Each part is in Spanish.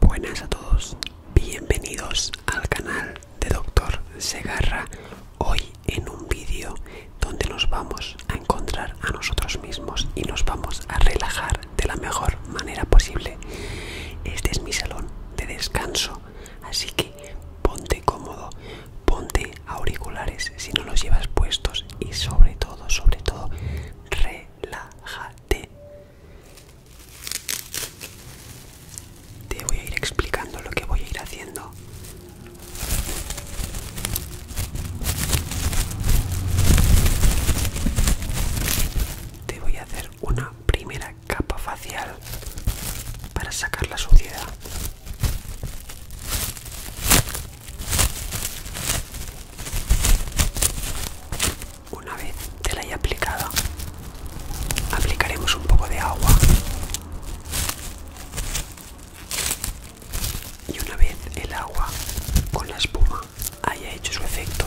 Buenas a todos, bienvenidos al canal de Doctor Segarra. Hoy en un vídeo donde nos vamos a encontrar a nosotros mismos y nos vamos a relajar de la mejor manera posible. Este es mi salón de descanso, así que ponte cómodo, ponte auriculares si no los llevas puestos y sobre todo, sobre todo, relaja te voy a ir explicando lo que voy a ir haciendo. Te voy a hacer una primera capa facial para sacar la suciedad. Una vez te la haya aplicado, aplicaremos un poco de agua. Y una vez el agua con la espuma haya hecho su efecto,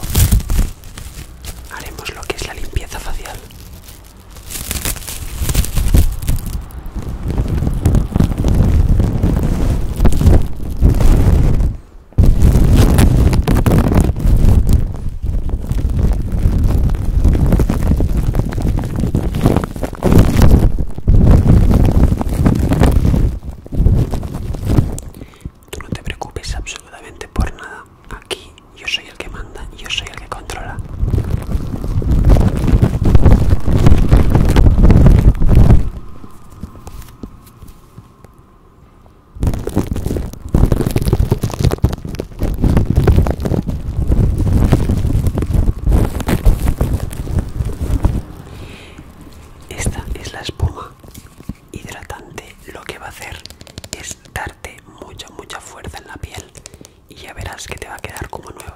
haremos lo que es la limpieza facial. Tú no te preocupes absolutamente por nada. Aquí yo soy el que manda, yo soy el que controla. Esta es la espuma hidratante. Lo que va a hacer es darte mucha, mucha fuerza en la piel y ya verás que te va a quedar como nueva.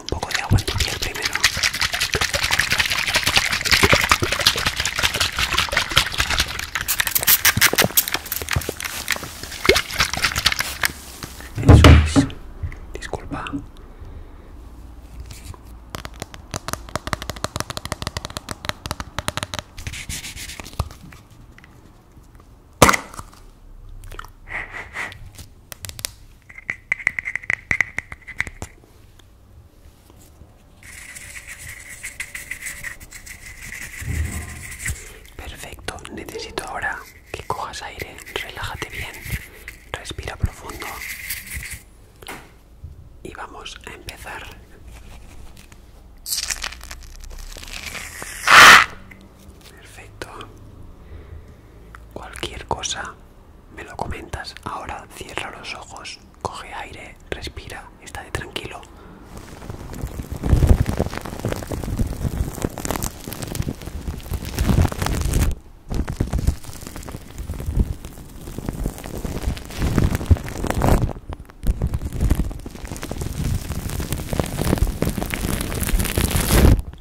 un poco de agua en tu primero. Eso Disculpa. Perfecto, necesito ahora que cojas aire, relájate bien, respira profundo y vamos a empezar. Perfecto. Cualquier cosa me lo comentas. Ahora cierra los ojos, coge aire, respira, está de tranquilo.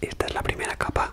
Esta es la primera capa.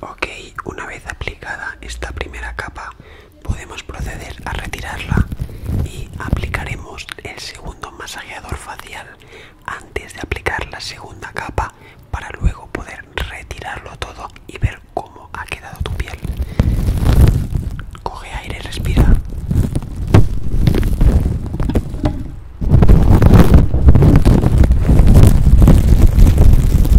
Ok, una vez aplicada esta primera capa, podemos proceder a retirarla y aplicaremos el segundo masajeador facial antes de aplicar la segunda capa para luego poder retirarlo todo y ver cómo ha quedado tu piel. Coge aire, y respira.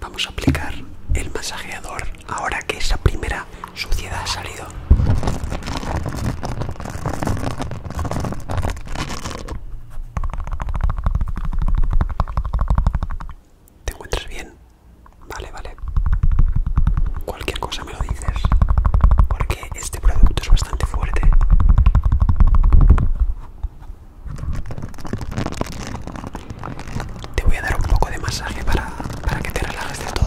Vamos a aplicar el masajeador ahora que esa primera suciedad ha salido. ¿Te encuentras bien? Vale, vale. Cualquier cosa me lo dices, porque este producto es bastante fuerte te voy a dar un poco de masaje para, que te relajes de todo.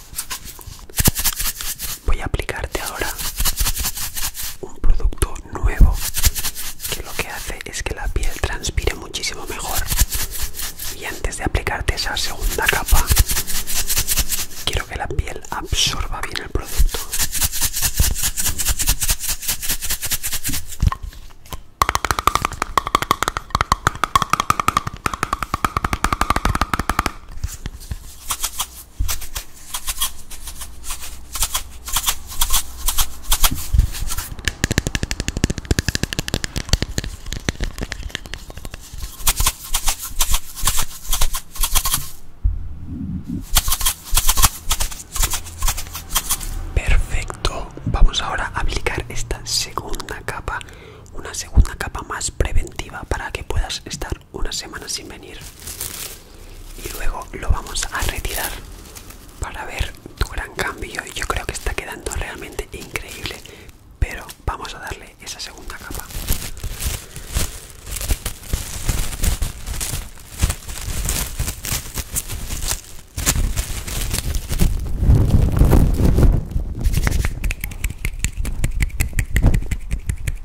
Voy a aplicarte ahora un producto nuevo que lo que hace es que la piel transpire muchísimo mejor. Y antes de aplicarte esa segunda capa, quiero que la piel absorba bien el producto. Perfecto, vamos ahora a aplicar esta segunda capa, una segunda capa más preventiva para que puedas estar una semana sin venir y luego lo vamos a retirar para ver tu gran cambio y yo creo que está quedando realmente increíble pero vamos a darle esa segunda capa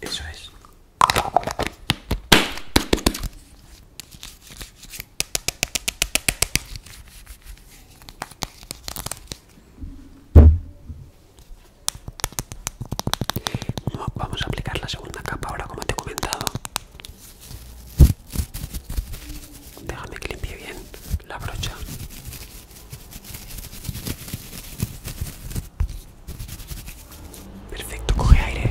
Eso es. Vamos a aplicar la segunda capa ahora como te he comentado Déjame que limpie bien la brocha. Perfecto, coge aire.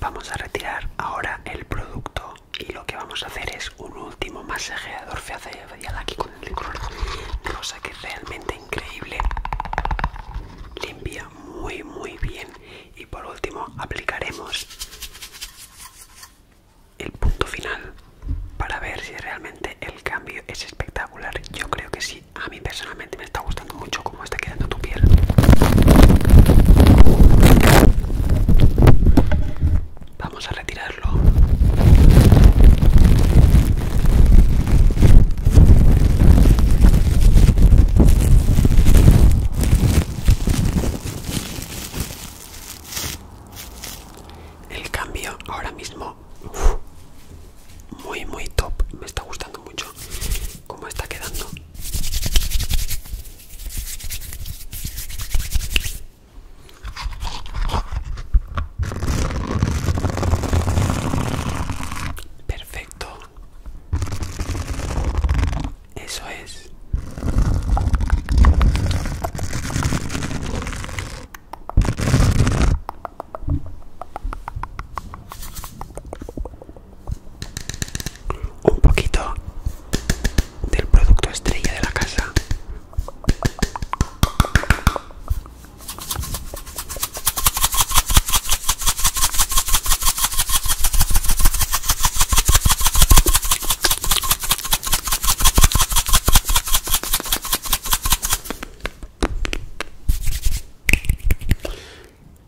vamos a retirar ahora el producto y lo que vamos a hacer es un último masajeador facial aquí con el color cosa que es realmente increíble limpia muy muy bien y por último aplicaremos el punto final para ver si realmente el cambio es espectacular yo creo que sí a mí personalmente me está gustando mucho cómo está quedando tu piel. Vamos a retirarlo. El cambio ahora mismo muy muy top me está gustando mucho Como está quedando perfecto eso es un poquito del producto estrella de la casa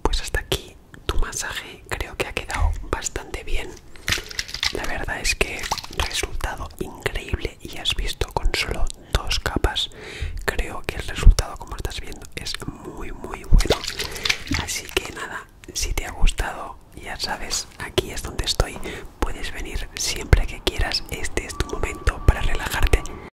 pues hasta aquí tu masaje creo que ha quedado bastante bien la verdad es que resultado increíble y has visto con solo dos capas creo que el resultado como estás viendo es muy muy bueno así que nada si te ha gustado ya sabes aquí es donde estoy puedes venir siempre que quieras este es tu momento para relajarte